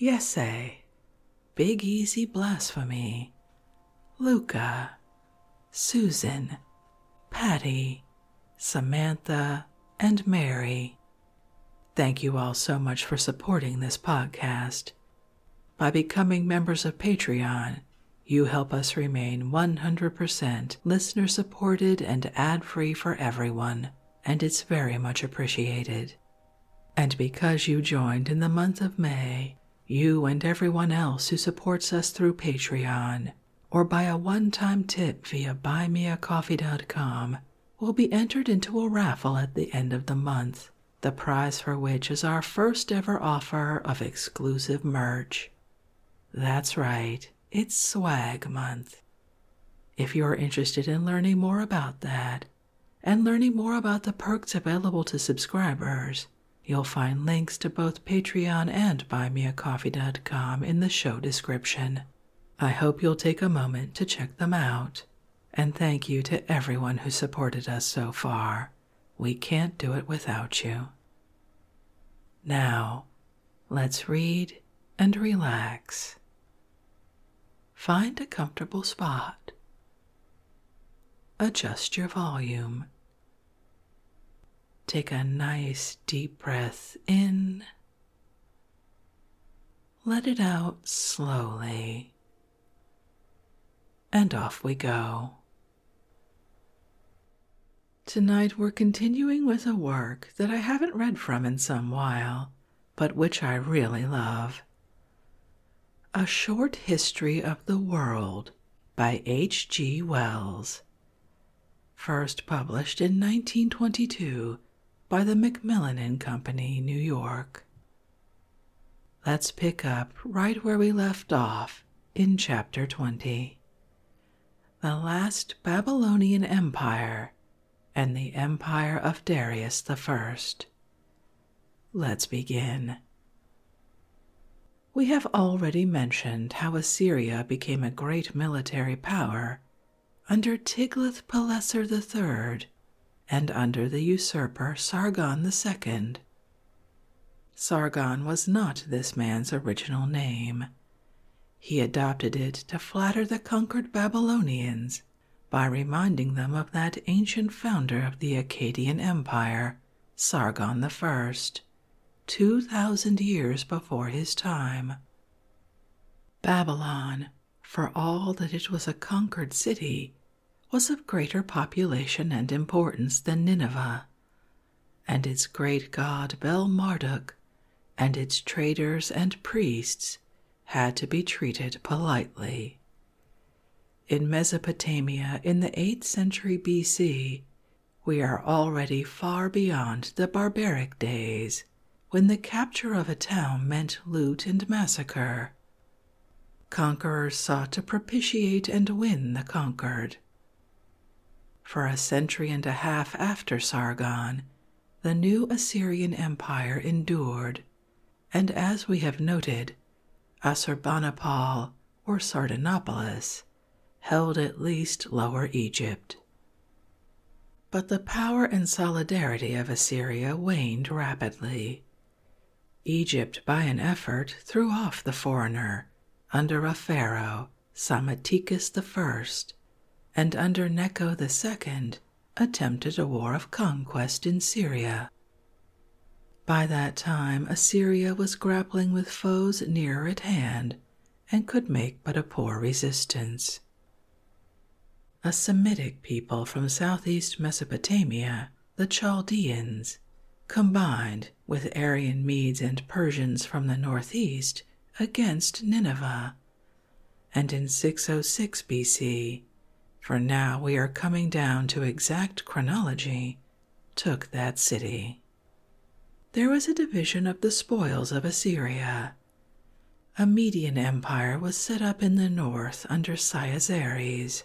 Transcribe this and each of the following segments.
Yesay, eh? Big Easy Blasphemy, Luca, Susan, Patty, Samantha, and Mary. Thank you all so much for supporting this podcast. By becoming members of Patreon, you help us remain 100% listener supported and ad free for everyone, and it's very much appreciated. And because you joined in the month of May, you and everyone else who supports us through Patreon or by a one time tip via buymeacoffee.com will be entered into a raffle at the end of the month, the prize for which is our first ever offer of exclusive merch. That's right, it's swag month. If you are interested in learning more about that and learning more about the perks available to subscribers, you'll find links to both Patreon and buymeacoffee.com in the show description. I hope you'll take a moment to check them out. And thank you to everyone who supported us so far. We can't do it without you. Now, let's read and relax. Find a comfortable spot. Adjust your volume. Take a nice deep breath in. Let it out slowly. And off we go. Tonight we're continuing with a work that I haven't read from in some while, but which I really love. A Short History of the World by H. G. Wells. First published in 1922 by the Macmillan and Company, New York. Let's pick up right where we left off in Chapter 20. The Last Babylonian Empire and the empire of Darius the First. Let's begin. We have already mentioned how Assyria became a great military power under Tiglath-Pileser III and under the usurper Sargon II. Sargon was not this man's original name. He adopted it to flatter the conquered Babylonians by reminding them of that ancient founder of the Akkadian Empire, Sargon I, 2,000 years before his time. Babylon, for all that it was a conquered city, was of greater population and importance than Nineveh, and its great god Bel Marduk and its traders and priests had to be treated politely. In Mesopotamia in the 8th century BC, we are already far beyond the barbaric days when the capture of a town meant loot and massacre. Conquerors sought to propitiate and win the conquered. For a century and a half after Sargon, the new Assyrian Empire endured and as we have noted, Assurbanipal or Sardanapalus held at least Lower Egypt. But the power and solidarity of Assyria waned rapidly. Egypt, by an effort, threw off the foreigner under a pharaoh, Psammeticus I, and under Necho II, attempted a war of conquest in Syria. By that time, Assyria was grappling with foes nearer at hand and could make but a poor resistance. A Semitic people from southeast Mesopotamia, the Chaldeans, combined with Aryan Medes and Persians from the northeast against Nineveh and in 606 BC, for now we are coming down to exact chronology, took that city. There was a division of the spoils of Assyria. A Median empire was set up in the north under Cyaxares.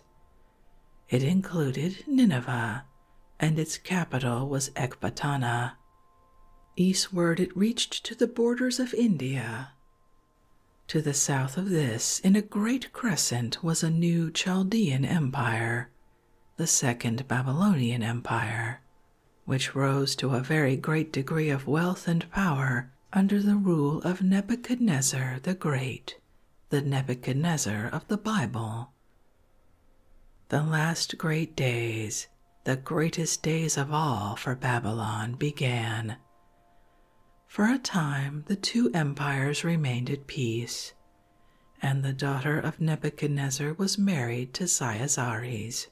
It included Nineveh, and its capital was Ecbatana. Eastward it reached to the borders of India, to the south of this, in a great crescent, was a new Chaldean empire, the Second Babylonian Empire, which rose to a very great degree of wealth and power under the rule of Nebuchadnezzar the Great, the Nebuchadnezzar of the Bible. The last great days, the greatest days of all for Babylon, began. For a time, the two empires remained at peace, and the daughter of Nebuchadnezzar was married to Cyaxares.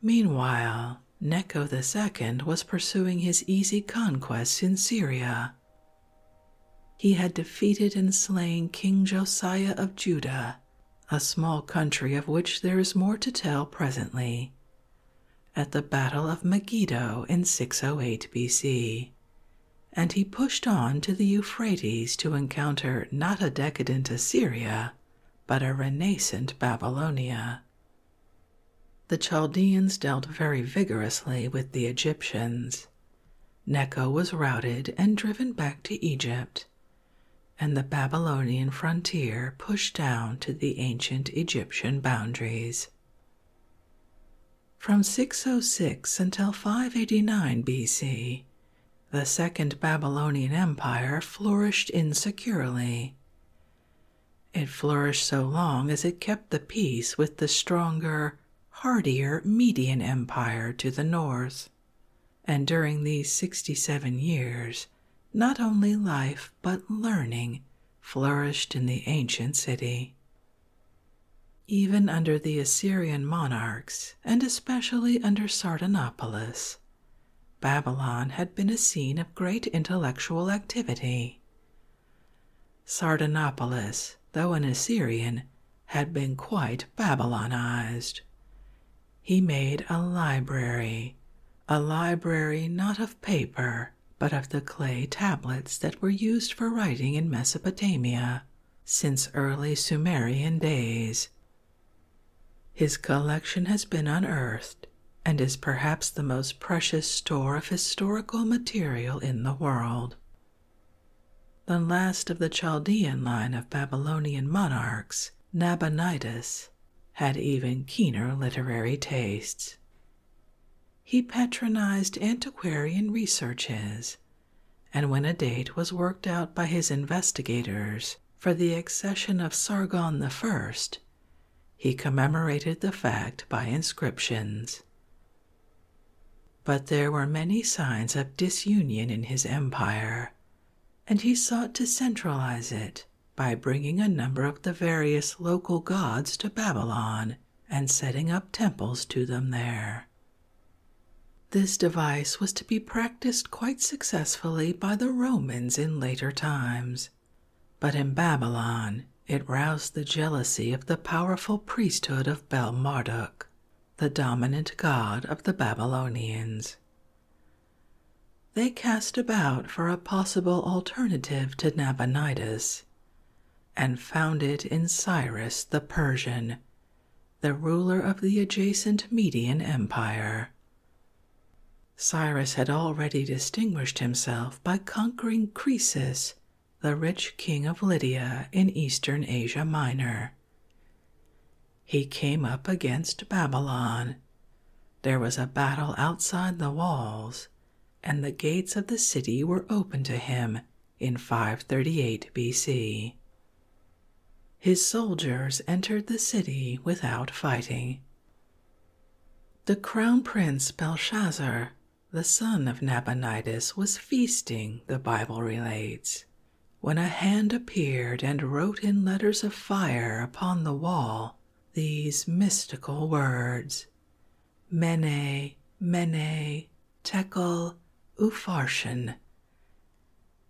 Meanwhile, Necho Second was pursuing his easy conquests in Syria. He had defeated and slain King Josiah of Judah, a small country of which there is more to tell presently, at the Battle of Megiddo in 608 BC, and he pushed on to the Euphrates to encounter not a decadent Assyria, but a renaissant Babylonia. The Chaldeans dealt very vigorously with the Egyptians. Necho was routed and driven back to Egypt, and the Babylonian frontier pushed down to the ancient Egyptian boundaries. From 606 until 589 BC, the Second Babylonian Empire flourished insecurely. It flourished so long as it kept the peace with the stronger, hardier Median Empire to the north. And during these 67 years, not only life but learning flourished in the ancient city. Even under the Assyrian monarchs, and especially under Sardanapalus, Babylon had been a scene of great intellectual activity. Sardanapalus, though an Assyrian, had been quite Babylonized. He made a library, a library not of paper, but of the clay tablets that were used for writing in Mesopotamia since early Sumerian days. His collection has been unearthed and is perhaps the most precious store of historical material in the world. The last of the Chaldean line of Babylonian monarchs, Nabonidus, had even keener literary tastes. He patronized antiquarian researches, and when a date was worked out by his investigators for the accession of Sargon I, he commemorated the fact by inscriptions. But there were many signs of disunion in his empire, and he sought to centralize it by bringing a number of the various local gods to Babylon and setting up temples to them there. This device was to be practiced quite successfully by the Romans in later times, but in Babylon it roused the jealousy of the powerful priesthood of Bel Marduk, the dominant god of the Babylonians. They cast about for a possible alternative to Nabonidus and found it in Cyrus the Persian, the ruler of the adjacent Median Empire. Cyrus had already distinguished himself by conquering Croesus, the rich king of Lydia in eastern Asia Minor. He came up against Babylon, there was a battle outside the walls, and the gates of the city were open to him in 538 BC. His soldiers entered the city without fighting. The crown prince Belshazzar, the son of Nabonidus, was feasting, the Bible relates, when a hand appeared and wrote in letters of fire upon the wall these mystical words Mene, Mene, Tekel, Upharsin,"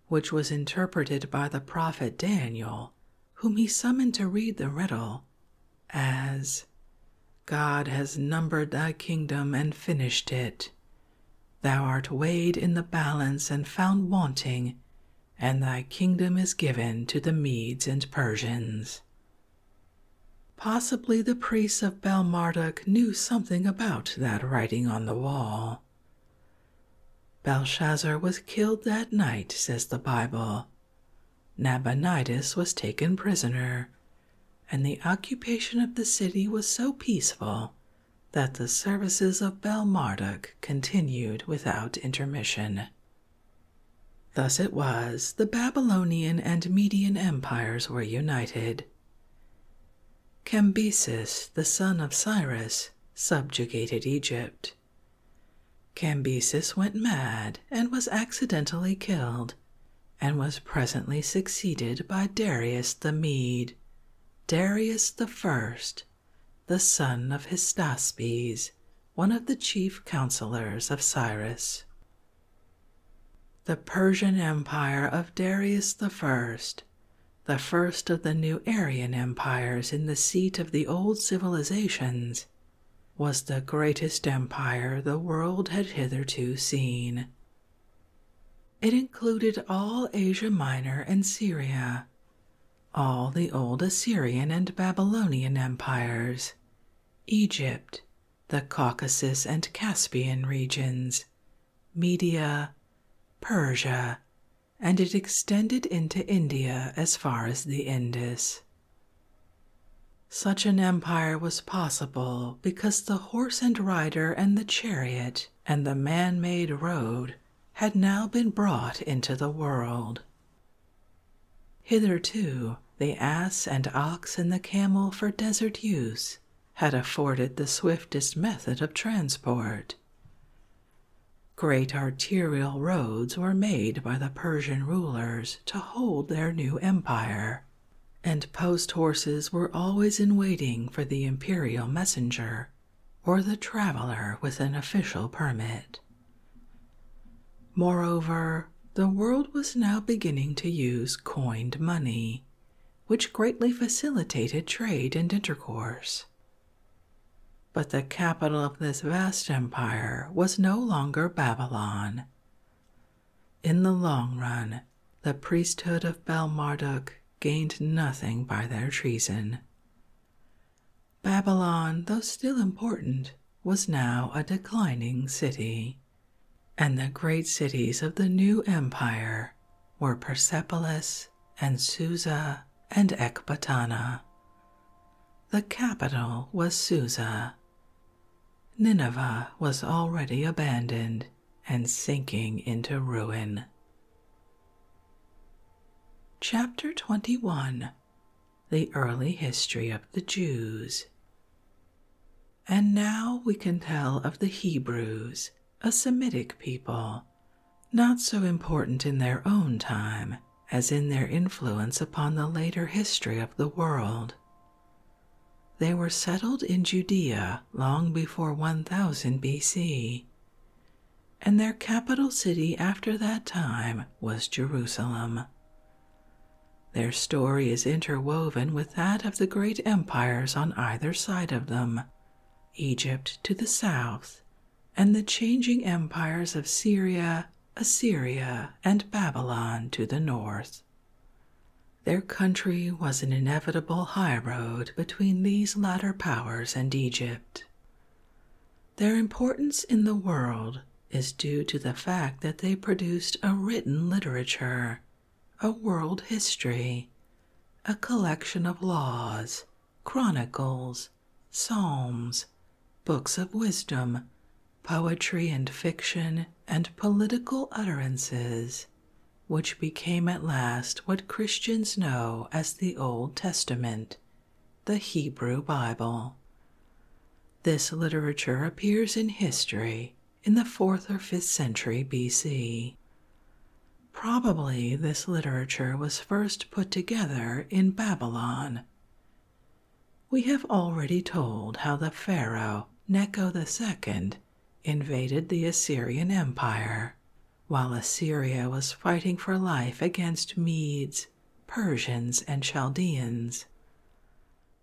which was interpreted by the prophet Daniel, whom he summoned to read the riddle, as God has numbered thy kingdom and finished it. Thou art weighed in the balance and found wanting, and thy kingdom is given to the Medes and Persians. Possibly the priests of Belmarduk knew something about that writing on the wall. Belshazzar was killed that night, says the Bible. Nabonidus was taken prisoner, and the occupation of the city was so peaceful that the services of Belmarduk continued without intermission. Thus it was the Babylonian and Median empires were united. Cambyses, the son of Cyrus, subjugated Egypt. Cambyses went mad and was accidentally killed, and was presently succeeded by Darius the Mede, Darius the First, the son of Hystaspes, one of the chief counselors of Cyrus. The Persian Empire of Darius I, the first of the new Aryan empires in the seat of the old civilizations, was the greatest empire the world had hitherto seen. It included all Asia Minor and Syria, all the old Assyrian and Babylonian empires, Egypt, the Caucasus and Caspian regions, Media, Persia, and it extended into India as far as the Indus. Such an empire was possible because the horse and rider and the chariot and the man made road had now been brought into the world. Hitherto, the ass and ox and the camel for desert use had afforded the swiftest method of transport. Great arterial roads were made by the Persian rulers to hold their new empire, and post horses were always in waiting for the imperial messenger or the traveler with an official permit. Moreover, the world was now beginning to use coined money, which greatly facilitated trade and intercourse. But the capital of this vast empire was no longer Babylon. In the long run, the priesthood of Bel Marduk gained nothing by their treason. Babylon, though still important, was now a declining city, and the great cities of the new empire were Persepolis and Susa and Ecbatana. The capital was Susa. Nineveh was already abandoned and sinking into ruin. Chapter 21 the early history of the Jews. And now we can tell of the Hebrews, a Semitic people, not so important in their own time as in their influence upon the later history of the world. They were settled in Judea long before 1000 BC, and their capital city after that time was Jerusalem, their story is interwoven with that of the great empires on either side of them Egypt to the south, and the changing empires of Syria, Assyria, and Babylon to the north. Their country was an inevitable highroad between these latter powers and Egypt, their importance in the world is due to the fact that they produced a written literature, a world history, a collection of laws, chronicles, psalms, books of wisdom, poetry and fiction, and political utterances, which became at last what Christians know as the Old Testament the Hebrew Bible. This literature appears in history in the 4th or 5th century BC. Probably this literature was first put together in Babylon. We have already told how the pharaoh Necho the Second invaded the Assyrian Empire while Assyria was fighting for life against Medes, Persians, and Chaldeans.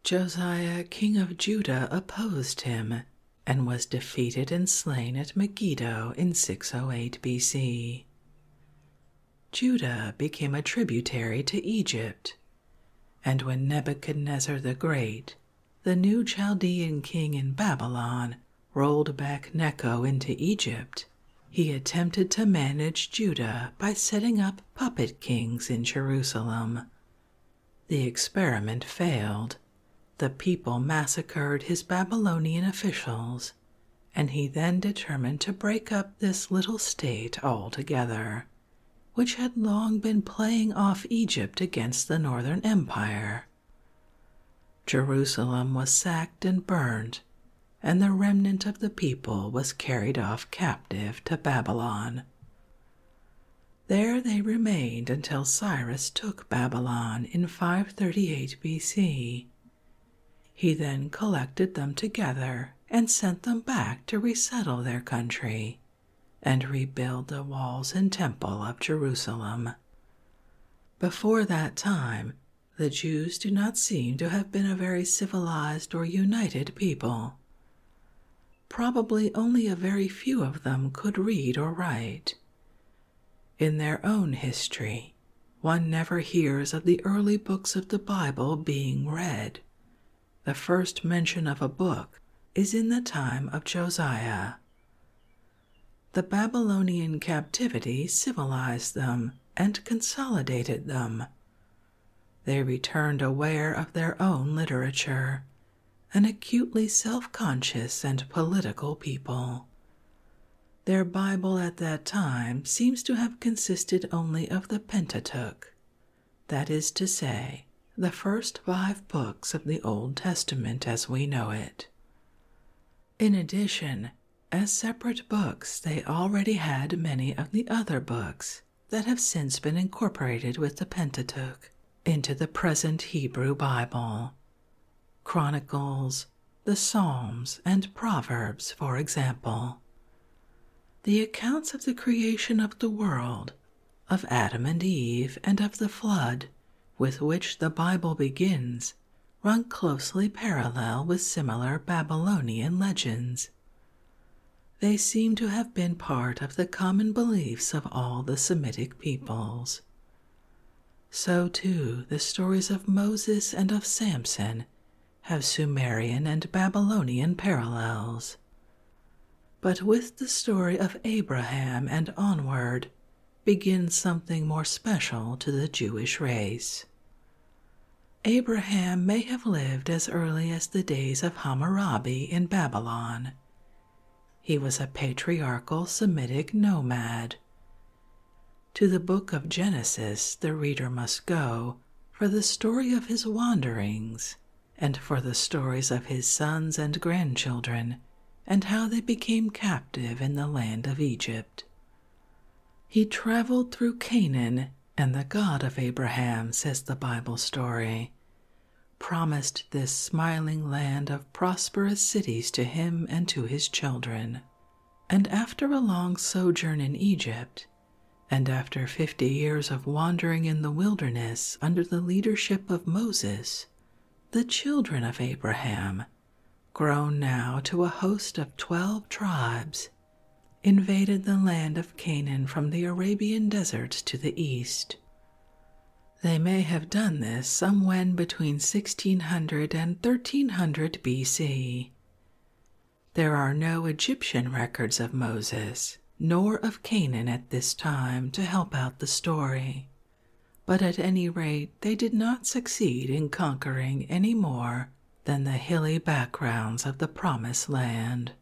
Josiah, king of Judah, opposed him and was defeated and slain at Megiddo in 608 BC. Judah became a tributary to Egypt, and when Nebuchadnezzar the Great, the new Chaldean king in Babylon, rolled back Necho into Egypt, he attempted to manage Judah by setting up puppet kings in Jerusalem. The experiment failed. The people massacred his Babylonian officials, and he then determined to break up this little state altogether, which had long been playing off Egypt against the Northern Empire. Jerusalem was sacked and burned and the remnant of the people was carried off captive to Babylon. There they remained until Cyrus took Babylon in 538 BC. He then collected them together and sent them back to resettle their country and rebuild the walls and temple of Jerusalem. Before that time, the Jews do not seem to have been a very civilized or united people. Probably only a very few of them could read or write. In their own history, one never hears of the early books of the Bible being read. The first mention of a book is in the time of Josiah. The Babylonian captivity civilized them and consolidated them they returned aware of their own literature, an acutely self conscious and political people. Their Bible at that time seems to have consisted only of the Pentateuch, that is to say, the first five books of the Old Testament as we know it. In addition, as separate books, they already had many of the other books that have since been incorporated with the Pentateuch into the present Hebrew Bible. Chronicles, the Psalms, and Proverbs, for example. The accounts of the creation of the world, of Adam and Eve, and of the flood, with which the Bible begins, run closely parallel with similar Babylonian legends. They seem to have been part of the common beliefs of all the Semitic peoples. So, too, the stories of Moses and of Samson have Sumerian and Babylonian parallels. But with the story of Abraham and onward begins something more special to the Jewish race. Abraham may have lived as early as the days of Hammurabi in Babylon. He was a patriarchal Semitic nomad. To the book of Genesis, the reader must go for the story of his wanderings and for the stories of his sons and grandchildren and how they became captive in the land of Egypt. He traveled through Canaan and the God of Abraham, says the Bible story, promised this smiling land of prosperous cities to him and to his children. And after a long sojourn in Egypt, and after fifty years of wandering in the wilderness under the leadership of Moses, the children of Abraham, grown now to a host of twelve tribes, invaded the land of Canaan from the Arabian desert to the east. They may have done this some when between 1600 and 1300 BC. There are no Egyptian records of Moses nor of Canaan at this time to help out the story, but at any rate, they did not succeed in conquering any more than the hilly backgrounds of the Promised Land.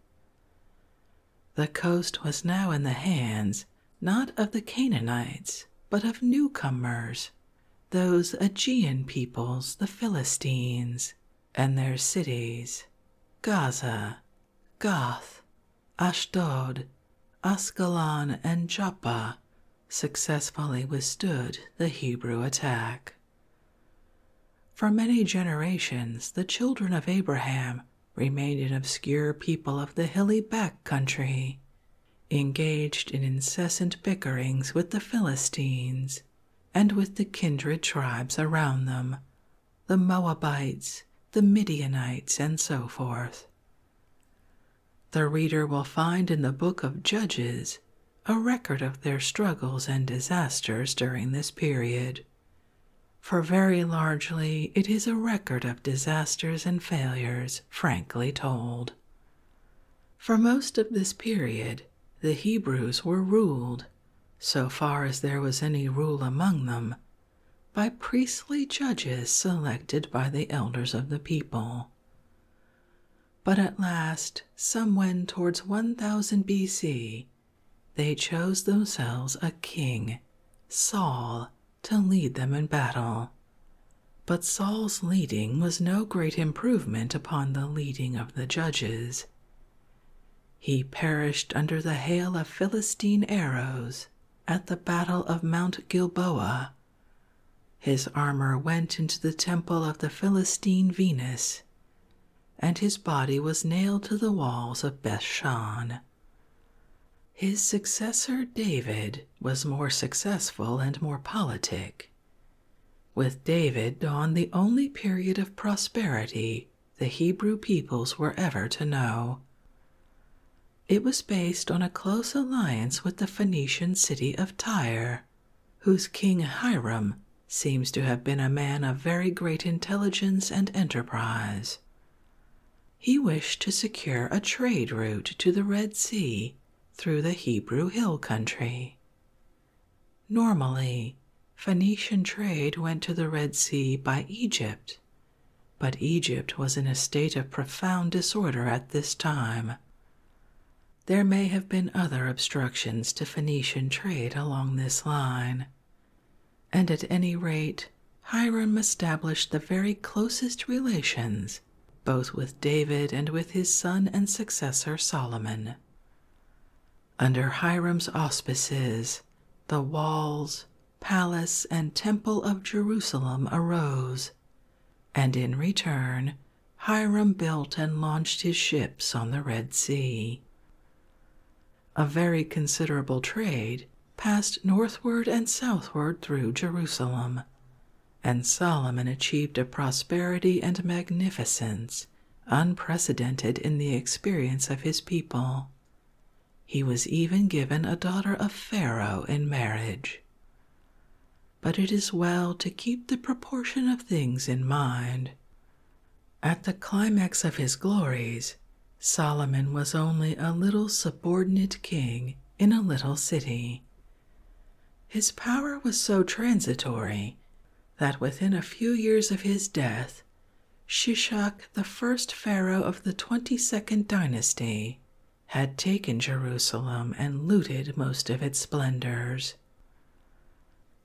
The coast was now in the hands not of the Canaanites, but of newcomers, those Aegean peoples, the Philistines, and their cities Gaza, Gath, Ashdod, Ascalon, and Joppa successfully withstood the Hebrew attack. For many generations, the children of Abraham remained an obscure people of the hilly back country, engaged in incessant bickerings with the Philistines and with the kindred tribes around them, the Moabites, the Midianites, and so forth. The reader will find in the book of Judges a record of their struggles and disasters during this period. For very largely, it is a record of disasters and failures, frankly told. For most of this period, the Hebrews were ruled, so far as there was any rule among them, by priestly judges selected by the elders of the people. But at last, some somewhen towards 1000 BC, they chose themselves a king, Saul, to lead them in battle. But Saul's leading was no great improvement upon the leading of the judges. He perished under the hail of Philistine arrows at the Battle of Mount Gilboa. His armor went into the temple of the Philistine Venus, and his body was nailed to the walls of Bethshan. His successor David was more successful and more politic. With David dawned the only period of prosperity the Hebrew peoples were ever to know. It was based on a close alliance with the Phoenician city of Tyre, whose king Hiram seems to have been a man of very great intelligence and enterprise. He wished to secure a trade route to the Red Sea through the Hebrew hill country. Normally, Phoenician trade went to the Red Sea by Egypt, but Egypt was in a state of profound disorder at this time. There may have been other obstructions to Phoenician trade along this line. And at any rate, Hiram established the very closest relations both with David and with his son and successor Solomon. Under Hiram's auspices, the walls, palace, and temple of Jerusalem arose, and in return, Hiram built and launched his ships on the Red Sea, a very considerable trade passed northward and southward through Jerusalem, and Solomon achieved a prosperity and magnificence unprecedented in the experience of his people. He was even given a daughter of Pharaoh in marriage. But it is well to keep the proportion of things in mind at the climax of his glories, Solomon was only a little subordinate king in a little city. His power was so transitory that within a few years of his death, Shishak, the first pharaoh of the 22nd dynasty, had taken Jerusalem and looted most of its splendors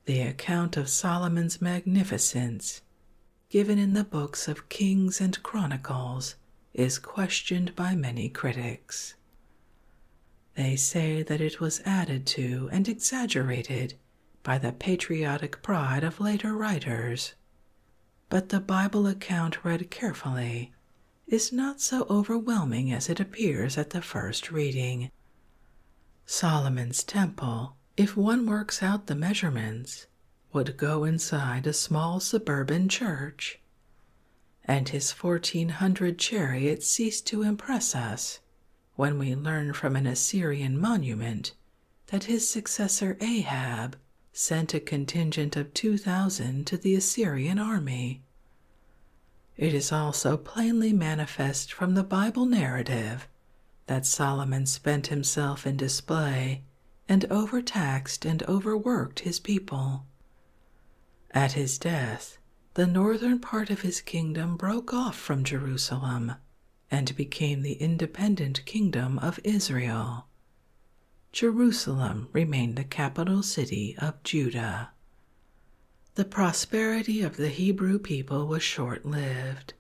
the account of Solomon's magnificence, given in the books of Kings and Chronicles, is questioned by many critics. They say that it was added to and exaggerated by the patriotic pride of later writers. But the Bible account read carefully is not so overwhelming as it appears at the first reading. Solomon's Temple if one works out the measurements, would go inside a small suburban church. And his 1400 chariots cease to impress us when we learn from an Assyrian monument that his successor Ahab sent a contingent of 2,000 to the Assyrian army. It is also plainly manifest from the Bible narrative that Solomon spent himself in display and overtaxed and overworked his people. At his death, the northern part of his kingdom broke off from Jerusalem and became the independent kingdom of Israel. Jerusalem remained the capital city of Judah. The prosperity of the Hebrew people was short lived,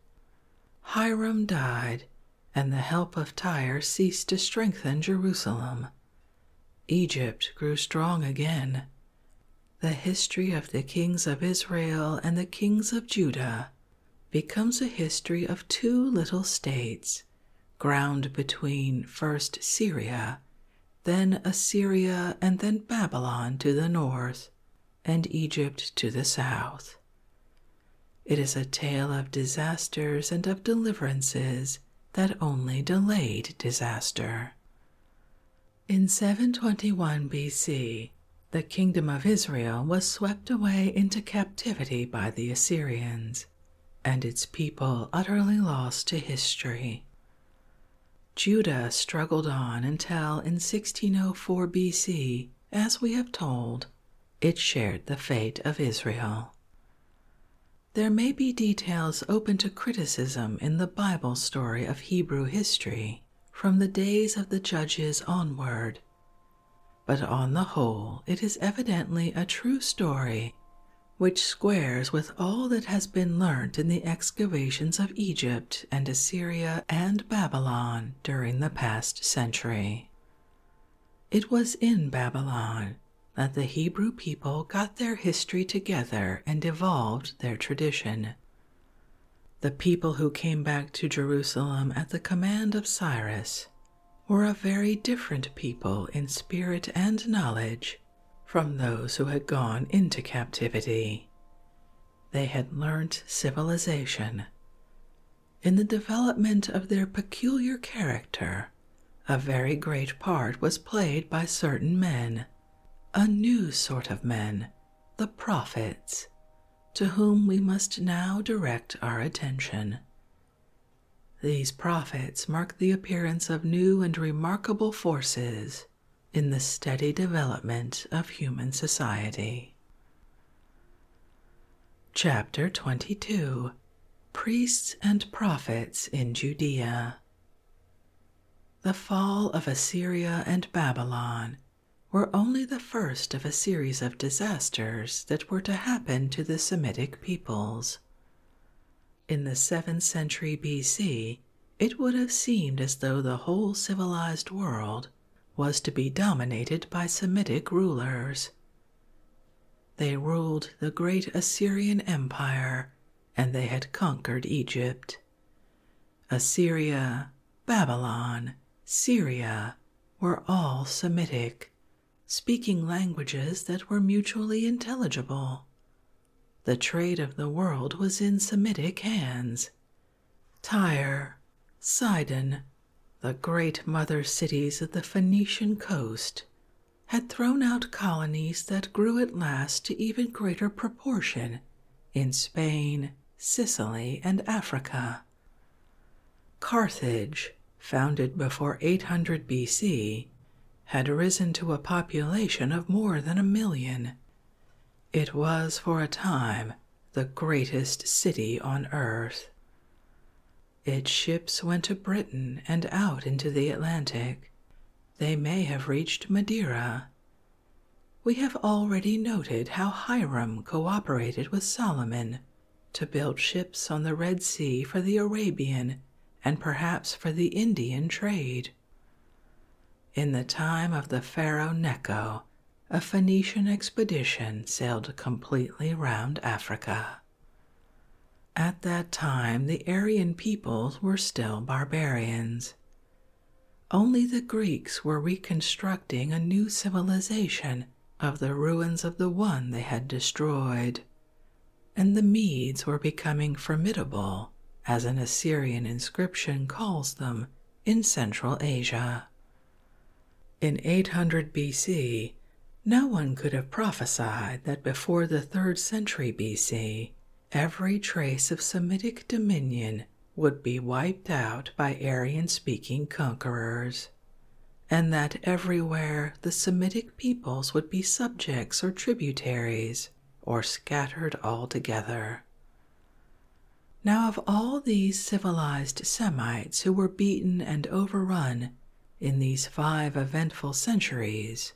Hiram died, and the help of Tyre ceased to strengthen Jerusalem. Egypt grew strong again. The history of the kings of Israel and the kings of Judah becomes a history of two little states, ground between first Syria, then Assyria, and then Babylon to the north, and Egypt to the south. It is a tale of disasters and of deliverances that only delayed disaster. In 721 BC, the kingdom of Israel was swept away into captivity by the Assyrians, and its people utterly lost to history. Judah struggled on until in 1604 4 BC, as we have told, it shared the fate of Israel. There may be details open to criticism in the Bible story of Hebrew history from the days of the judges onward, but on the whole, it is evidently a true story which squares with all that has been learnt in the excavations of Egypt and Assyria and Babylon during the past century. It was in Babylon that the Hebrew people got their history together and evolved their tradition. The people who came back to Jerusalem at the command of Cyrus were a very different people in spirit and knowledge from those who had gone into captivity they had learnt civilization. In the development of their peculiar character, a very great part was played by certain men, a new sort of men, the prophets, to whom we must now direct our attention. These prophets mark the appearance of new and remarkable forces in the steady development of human society. Chapter 22 Priests and Prophets in Judea. The fall of Assyria and Babylon were only the first of a series of disasters that were to happen to the Semitic peoples. In the 7th century BC, it would have seemed as though the whole civilized world was to be dominated by Semitic rulers. They ruled the great Assyrian Empire and they had conquered Egypt. Assyria, Babylon, Syria were all Semitic, speaking languages that were mutually intelligible. The trade of the world was in Semitic hands, Tyre, Sidon, the great mother cities of the Phoenician coast, had thrown out colonies that grew at last to even greater proportion in Spain, Sicily, and Africa. Carthage, founded before 800 BC, had risen to a population of more than a million. It was for a time the greatest city on earth. Its ships went to Britain and out into the Atlantic. They may have reached Madeira. We have already noted how Hiram cooperated with Solomon to build ships on the Red Sea for the Arabian and perhaps for the Indian trade. In the time of the pharaoh Necho, a Phoenician expedition sailed completely round Africa. At that time, the Aryan peoples were still barbarians. Only the Greeks were reconstructing a new civilization of the ruins of the one they had destroyed, and the Medes were becoming formidable, as an Assyrian inscription calls them in Central Asia. In 800 BC, no one could have prophesied that before the 3rd century BC, every trace of Semitic dominion would be wiped out by Aryan speaking conquerors, and that everywhere the Semitic peoples would be subjects or tributaries or scattered altogether. Now, of all these civilized Semites who were beaten and overrun in these five eventful centuries,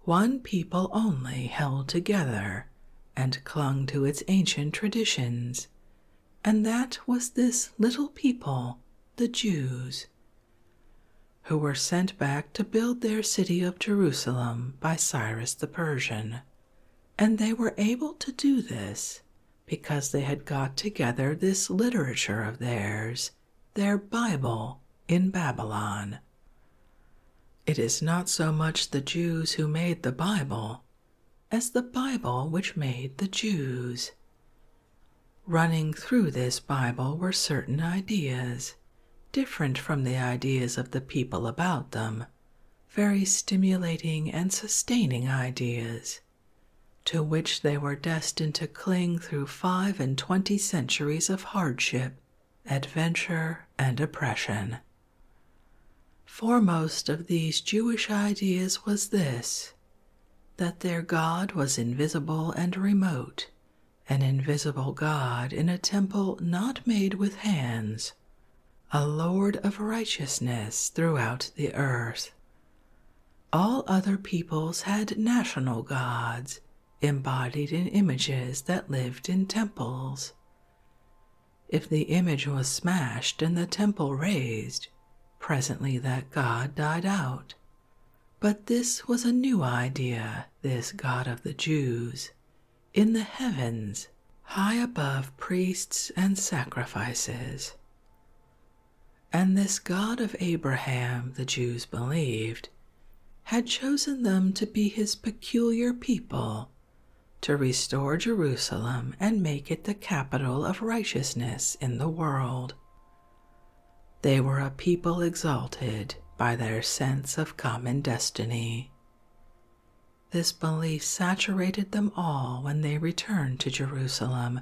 one people only held together and clung to its ancient traditions, and that was this little people, the Jews, who were sent back to build their city of Jerusalem by Cyrus the Persian and they were able to do this because they had got together this literature of theirs, their Bible, in Babylon. It is not so much the Jews who made the Bible as the Bible which made the Jews. Running through this Bible were certain ideas, different from the ideas of the people about them, very stimulating and sustaining ideas, to which they were destined to cling through five and twenty centuries of hardship, adventure, and oppression. Foremost of these Jewish ideas was this that their God was invisible and remote, an invisible God in a temple not made with hands, a Lord of righteousness throughout the earth. All other peoples had national gods embodied in images that lived in temples. If the image was smashed and the temple razed, presently that god died out. But this was a new idea, this God of the Jews. In the heavens, high above priests and sacrifices. And this God of Abraham, the Jews believed, had chosen them to be his peculiar people, to restore Jerusalem and make it the capital of righteousness in the world. They were a people exalted by their sense of common destiny. This belief saturated them all when they returned to Jerusalem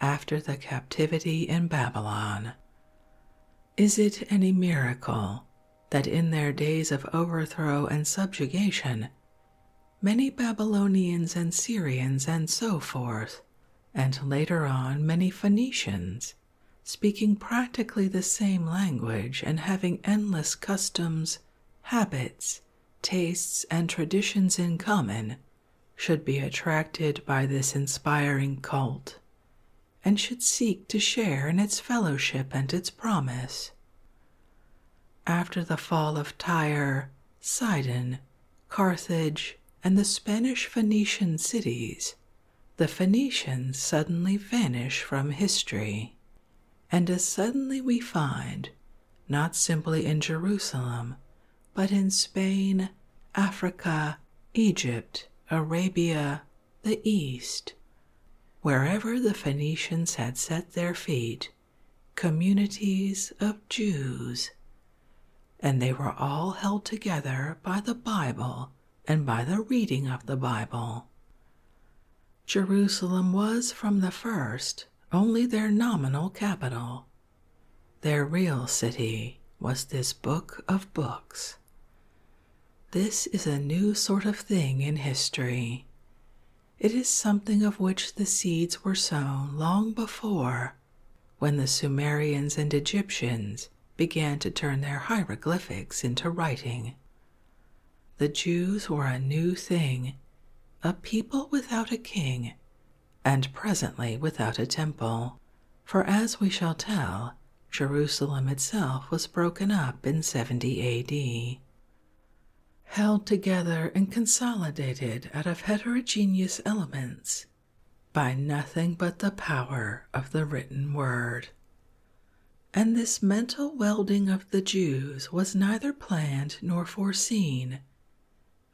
after the captivity in Babylon. Is it any miracle that in their days of overthrow and subjugation, many Babylonians and Syrians and so forth, and later on many Phoenicians, speaking practically the same language and having endless customs, habits, tastes, and traditions in common should be attracted by this inspiring cult and should seek to share in its fellowship and its promise. After the fall of Tyre, Sidon, Carthage, and the Spanish Phoenician cities, the Phoenicians suddenly vanish from history and as suddenly we find, not simply in Jerusalem, but in Spain, Africa, Egypt, Arabia, the East, wherever the Phoenicians had set their feet, communities of Jews. And they were all held together by the Bible and by the reading of the Bible. Jerusalem was from the first only their nominal capital. Their real city was this book of books. This is a new sort of thing in history. It is something of which the seeds were sown long before, when the Sumerians and Egyptians began to turn their hieroglyphics into writing. The Jews were a new thing, a people without a king, and presently without a temple. For as we shall tell, Jerusalem itself was broken up in 70 AD. Held together and consolidated out of heterogeneous elements by nothing but the power of the written word. And this mental welding of the Jews was neither planned nor foreseen,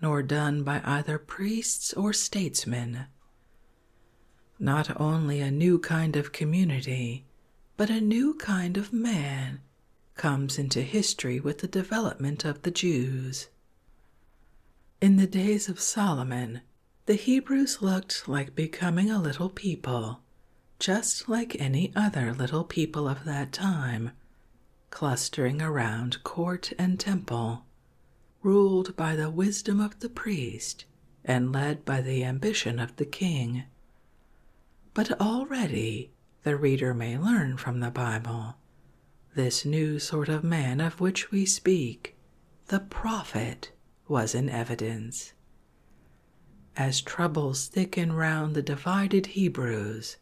nor done by either priests or statesmen. Not only a new kind of community, but a new kind of man comes into history with the development of the Jews. In the days of Solomon, the Hebrews looked like becoming a little people just like any other little people of that time, clustering around court and temple, ruled by the wisdom of the priest and led by the ambition of the king. But already the reader may learn from the Bible this new sort of man of which we speak, the prophet, was in evidence. As troubles thicken round the divided Hebrews,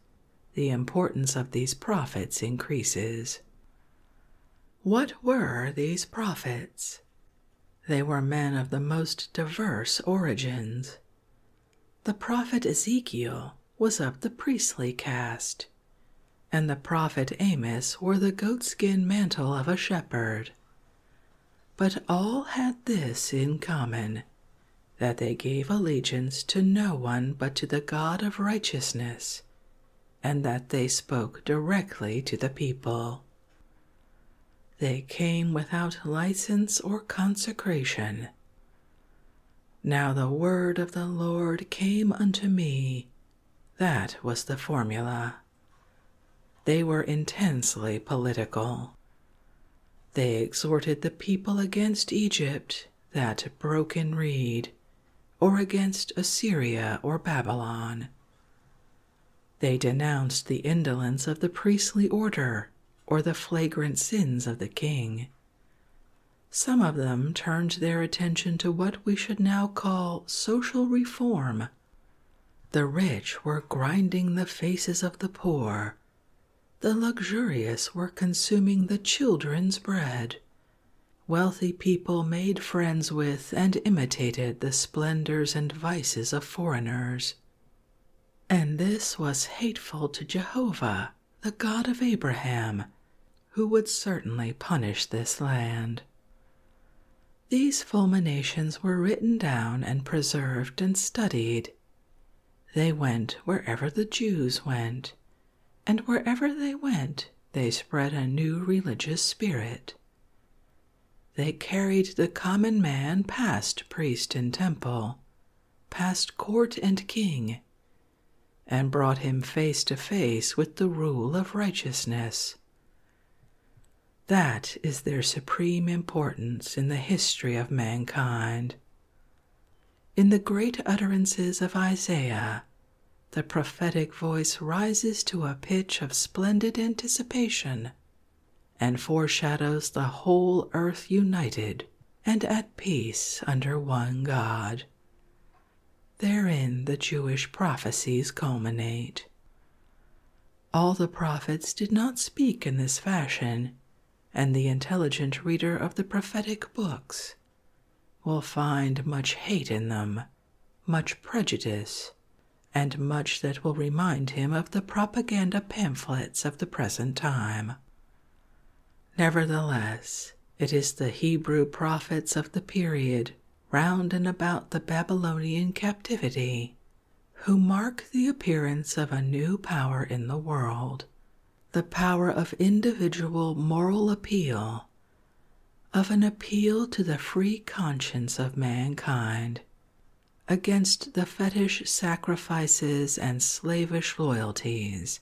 the importance of these prophets increases. What were these prophets? They were men of the most diverse origins. The prophet Ezekiel was of the priestly caste, and the prophet Amos wore the goatskin mantle of a shepherd. But all had this in common that they gave allegiance to no one but to the God of righteousness, and that they spoke directly to the people. They came without license or consecration. Now the word of the Lord came unto me. That was the formula. They were intensely political. They exhorted the people against Egypt, that broken reed, or against Assyria or Babylon. They denounced the indolence of the priestly order or the flagrant sins of the king. Some of them turned their attention to what we should now call social reform. The rich were grinding the faces of the poor the luxurious were consuming the children's bread. Wealthy people made friends with and imitated the splendors and vices of foreigners. And this was hateful to Jehovah, the God of Abraham, who would certainly punish this land. These fulminations were written down and preserved and studied. They went wherever the Jews went, and wherever they went, they spread a new religious spirit. They carried the common man past priest and temple, past court and king, and brought him face to face with the rule of righteousness. That is their supreme importance in the history of mankind in the great utterances of Isaiah, the prophetic voice rises to a pitch of splendid anticipation and foreshadows the whole earth united and at peace under one God. Therein the Jewish prophecies culminate. All the prophets did not speak in this fashion, and the intelligent reader of the prophetic books will find much hate in them, much prejudice, and much that will remind him of the propaganda pamphlets of the present time. Nevertheless, it is the Hebrew prophets of the period round and about the Babylonian captivity who mark the appearance of a new power in the world the power of individual moral appeal, of an appeal to the free conscience of mankind against the fetish sacrifices and slavish loyalties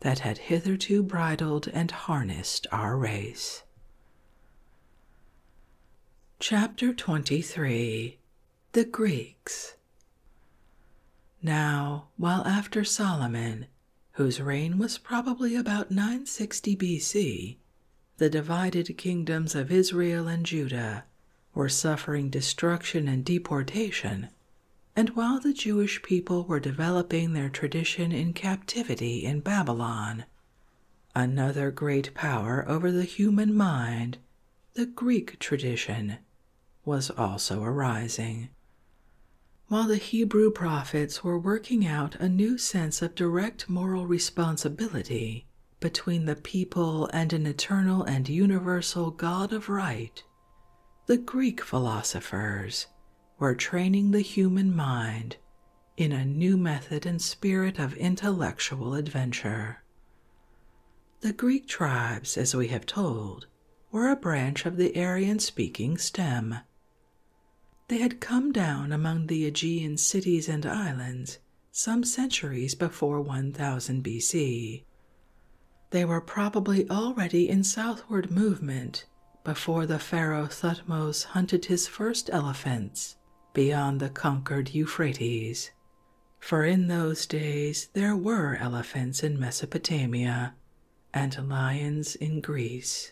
that had hitherto bridled and harnessed our race. Chapter 23 the Greeks. Now, while after Solomon, whose reign was probably about 960 BC, the divided kingdoms of Israel and Judah were suffering destruction and deportation, and while the Jewish people were developing their tradition in captivity in Babylon, another great power over the human mind, the Greek tradition, was also arising. While the Hebrew prophets were working out a new sense of direct moral responsibility between the people and an eternal and universal God of right, the Greek philosophers were training the human mind in a new method and spirit of intellectual adventure. The Greek tribes, as we have told, were a branch of the Aryan speaking stem. They had come down among the Aegean cities and islands some centuries before 1000 BC. They were probably already in southward movement before the pharaoh Thutmose hunted his first elephants beyond the conquered Euphrates for in those days there were elephants in Mesopotamia and lions in Greece.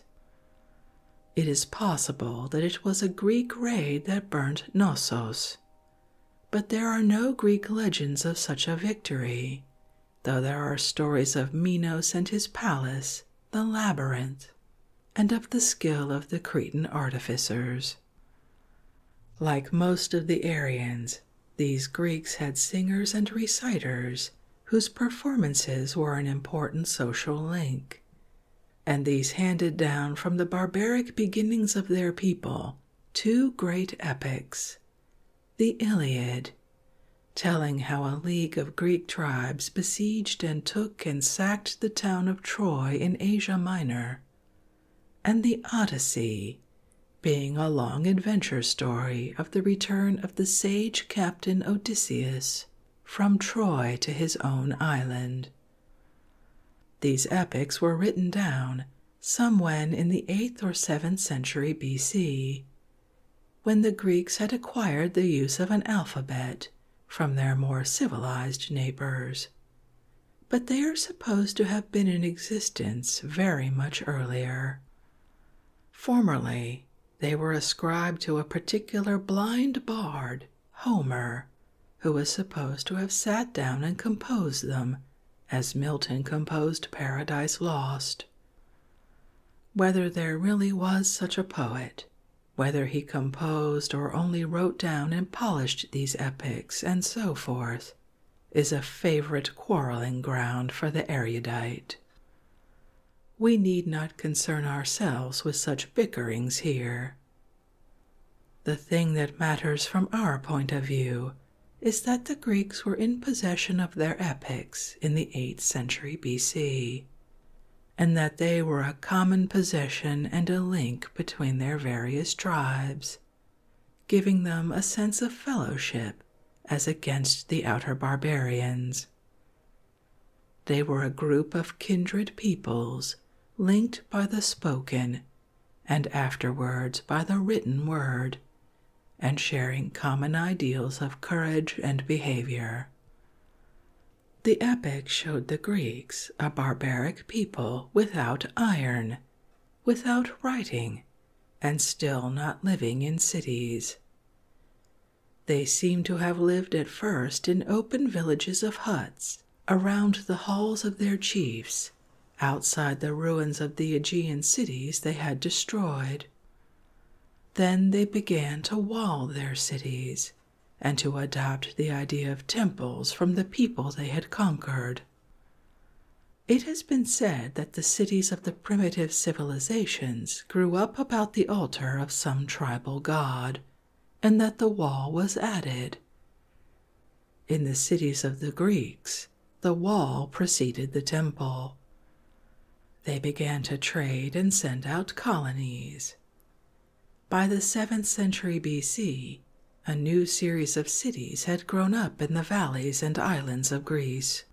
It is possible that it was a Greek raid that burnt Knossos, but there are no Greek legends of such a victory, though there are stories of Minos and his palace, the labyrinth, and of the skill of the Cretan artificers. Like most of the Aryans, these Greeks had singers and reciters whose performances were an important social link, and these handed down from the barbaric beginnings of their people two great epics the Iliad, telling how a league of Greek tribes besieged and took and sacked the town of Troy in Asia Minor and the Odyssey being a long adventure story of the return of the sage captain Odysseus from Troy to his own island. These epics were written down some when in the 8th or 7th century BC, when the Greeks had acquired the use of an alphabet from their more civilized neighbors. But they are supposed to have been in existence very much earlier. Formerly, they were ascribed to a particular blind bard, Homer, who was supposed to have sat down and composed them, as Milton composed Paradise Lost. Whether there really was such a poet, whether he composed or only wrote down and polished these epics, and so forth, is a favorite quarreling ground for the erudite. We need not concern ourselves with such bickerings here. The thing that matters from our point of view is that the Greeks were in possession of their epics in the 8th century BC, and that they were a common possession and a link between their various tribes, giving them a sense of fellowship as against the outer barbarians. They were a group of kindred peoples linked by the spoken and afterwards by the written word, and sharing common ideals of courage and behavior. The epic showed the Greeks a barbaric people without iron, without writing, and still not living in cities. They seem to have lived at first in open villages of huts around the halls of their chiefs, outside the ruins of the Aegean cities they had destroyed. Then they began to wall their cities and to adopt the idea of temples from the people they had conquered. It has been said that the cities of the primitive civilizations grew up about the altar of some tribal god, and that the wall was added. In the cities of the Greeks, the wall preceded the temple. They began to trade and send out colonies. By the 7th century BC, a new series of cities had grown up in the valleys and islands of Greece,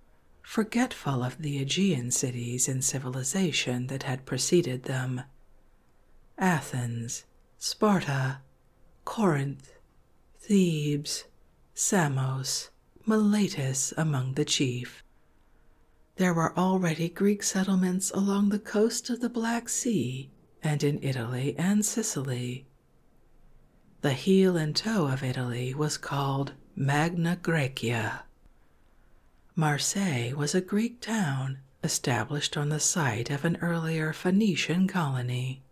forgetful of the Aegean cities and civilization that had preceded them. Athens, Sparta, Corinth, Thebes, Samos, Miletus among the chief. There were already Greek settlements along the coast of the Black Sea and in Italy and Sicily, the heel and toe of Italy was called Magna Graecia. Marseille was a Greek town established on the site of an earlier Phoenician colony.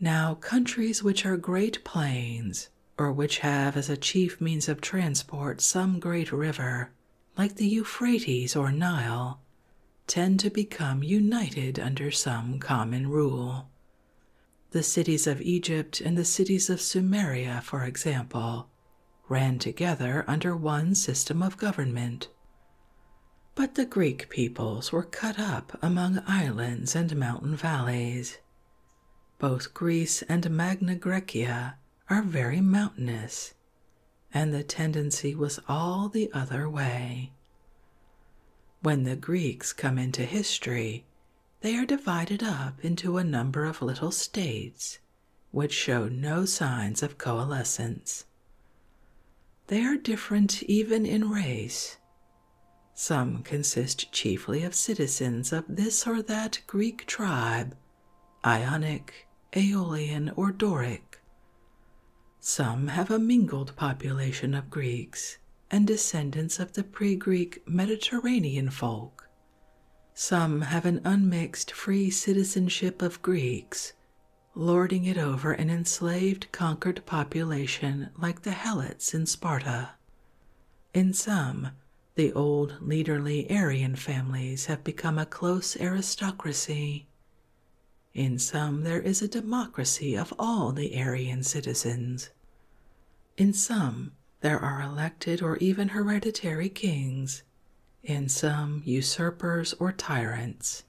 Now, countries which are great plains, or which have as a chief means of transport some great river, like the Euphrates or Nile, tend to become united under some common rule, the cities of Egypt and the cities of Sumeria, for example, ran together under one system of government. But the Greek peoples were cut up among islands and mountain valleys. Both Greece and Magna Graecia are very mountainous, and the tendency was all the other way. When the Greeks come into history, they are divided up into a number of little states which show no signs of coalescence. They are different even in race. Some consist chiefly of citizens of this or that Greek tribe, Ionic, Aeolian, or Doric. Some have a mingled population of Greeks and descendants of the pre Greek Mediterranean folk. Some have an unmixed free citizenship of Greeks, lording it over an enslaved conquered population like the Helots in Sparta. In some, the old leaderly Aryan families have become a close aristocracy. In some, there is a democracy of all the Aryan citizens. In some, there are elected or even hereditary kings, in some, usurpers or tyrants.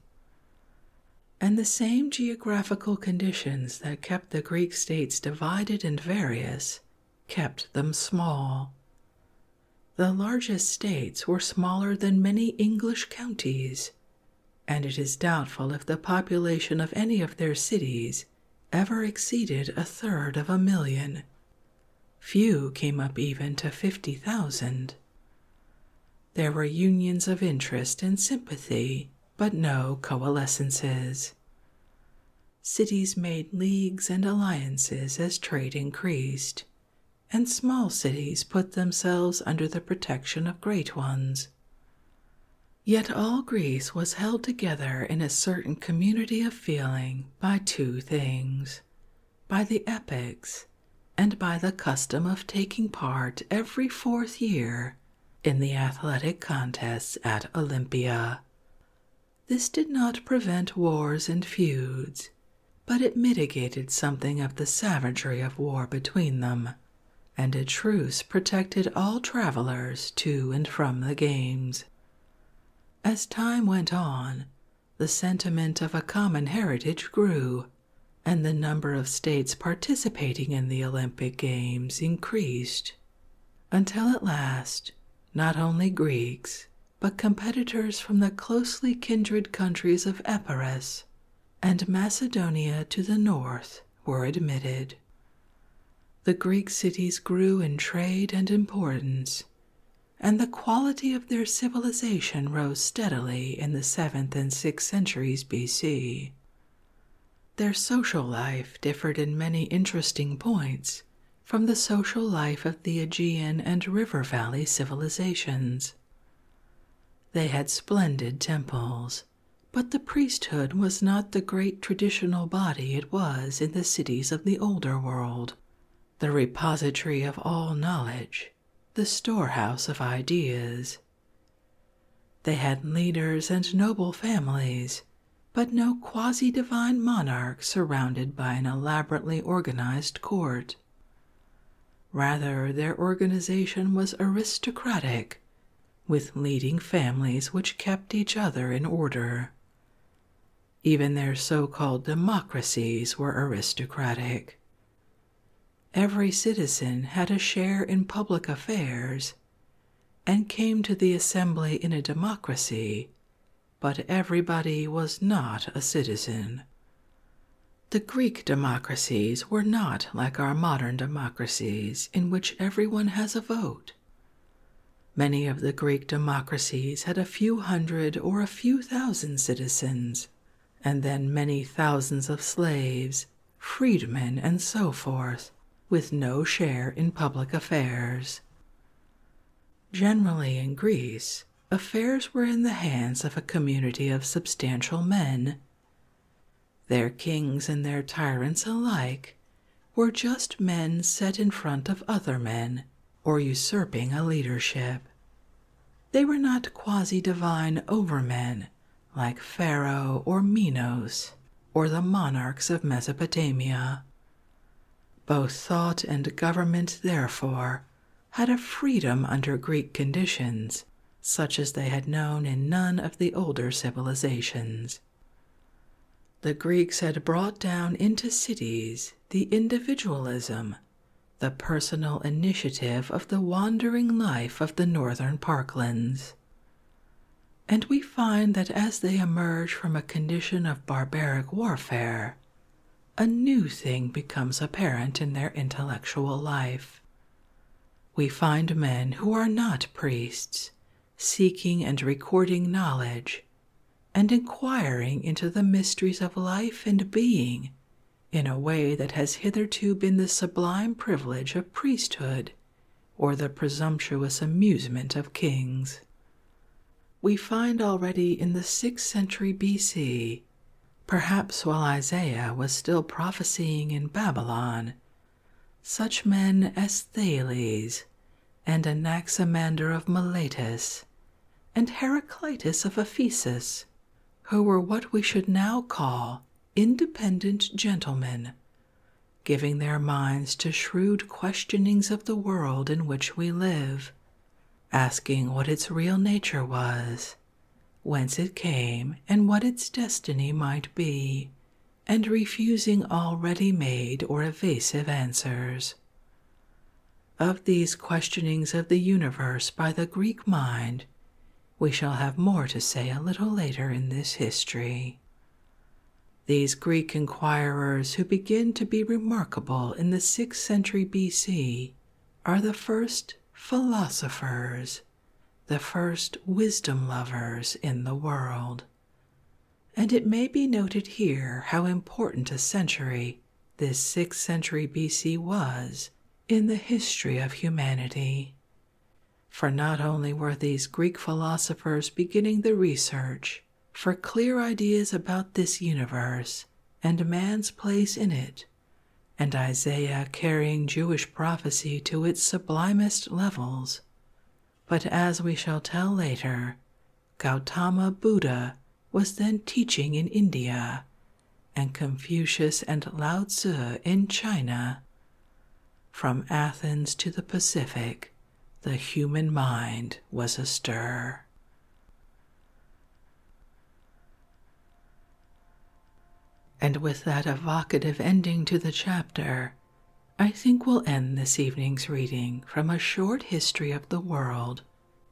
And the same geographical conditions that kept the Greek states divided and various kept them small. The largest states were smaller than many English counties and it is doubtful if the population of any of their cities ever exceeded a third of a million. Few came up even to 50,000. There were unions of interest and sympathy, but no coalescences. Cities made leagues and alliances as trade increased, and small cities put themselves under the protection of great ones. Yet all Greece was held together in a certain community of feeling by two things by the epics and by the custom of taking part every fourth year in the athletic contests at Olympia. This did not prevent wars and feuds, but it mitigated something of the savagery of war between them and a truce protected all travelers to and from the games. As time went on, the sentiment of a common heritage grew, and the number of states participating in the Olympic Games increased, until at last, not only Greeks, but competitors from the closely kindred countries of Epirus and Macedonia to the north were admitted. The Greek cities grew in trade and importance, and the quality of their civilization rose steadily in the 7th and 6th centuries BC. Their social life differed in many interesting points from the social life of the Aegean and river valley civilizations. They had splendid temples, but the priesthood was not the great traditional body it was in the cities of the older world, the repository of all knowledge, the storehouse of ideas. They had leaders and noble families, but no quasi divine monarch surrounded by an elaborately organized court. Rather, their organization was aristocratic, with leading families which kept each other in order. Even their so called democracies were aristocratic. Every citizen had a share in public affairs and came to the assembly in a democracy, but everybody was not a citizen. The Greek democracies were not like our modern democracies democracies in which everyone has a vote. Many of the Greek democracies had a few hundred or a few thousand citizens, and then many thousands of slaves, freedmen, and so forth, with no share in public affairs. Generally in Greece, affairs were in the hands of a community of substantial men. Their kings and their tyrants alike were just men set in front of other men or usurping a leadership. They were not quasi divine overmen like Pharaoh or Minos or the monarchs of Mesopotamia. Both thought and government, therefore, had a freedom under Greek conditions such as they had known in none of the older civilizations. The Greeks had brought down into cities the individualism, the personal initiative of the wandering life of the northern parklands. And we find that as they emerge from a condition of barbaric warfare, a new thing becomes apparent in their intellectual life. We find men who are not priests, seeking and recording knowledge, and inquiring into the mysteries of life and being in a way that has hitherto been the sublime privilege of priesthood or the presumptuous amusement of kings. We find already in the sixth century BC, perhaps while Isaiah was still prophesying in Babylon, such men as Thales and Anaximander of Miletus and Heraclitus of Ephesus, who were what we should now call independent gentlemen, giving their minds to shrewd questionings of the world in which we live, asking what its real nature was, whence it came, and what its destiny might be and refusing all ready made or evasive answers. Of these questionings of the universe by the Greek mind, we shall have more to say a little later in this history. These Greek inquirers, who begin to be remarkable in the sixth century BC, are the first philosophers the first wisdom lovers in the world. And it may be noted here how important a century this 6th century BC was in the history of humanity. For not only were these Greek philosophers beginning the research for clear ideas about this universe and man's place in it, and Isaiah carrying Jewish prophecy to its sublimest levels, but as we shall tell later, Gautama Buddha was then teaching in India, and Confucius and Lao Tzu in China. From Athens to the Pacific, the human mind was astir. And with that evocative ending to the chapter, I think we'll end this evening's reading from A Short History of the World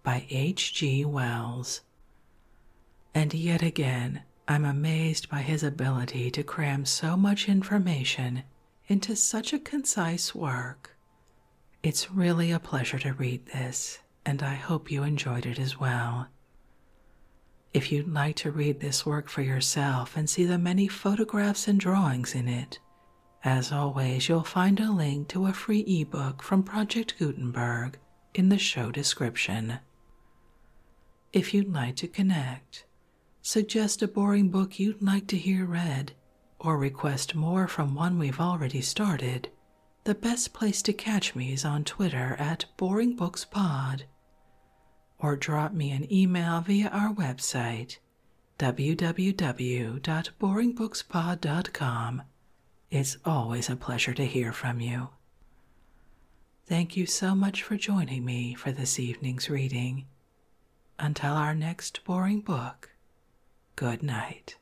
by H.G. Wells. And yet again, I'm amazed by his ability to cram so much information into such a concise work. It's really a pleasure to read this, and I hope you enjoyed it as well. If you'd like to read this work for yourself and see the many photographs and drawings in it, as always, you'll find a link to a free ebook from Project Gutenberg in the show description. If you'd like to connect, suggest a boring book you'd like to hear read, or request more from one we've already started, the best place to catch me is on Twitter at BoringBooksPod or drop me an email via our website www.boringbookspod.com. It's always a pleasure to hear from you. Thank you so much for joining me for this evening's reading. Until our next boring book, good night.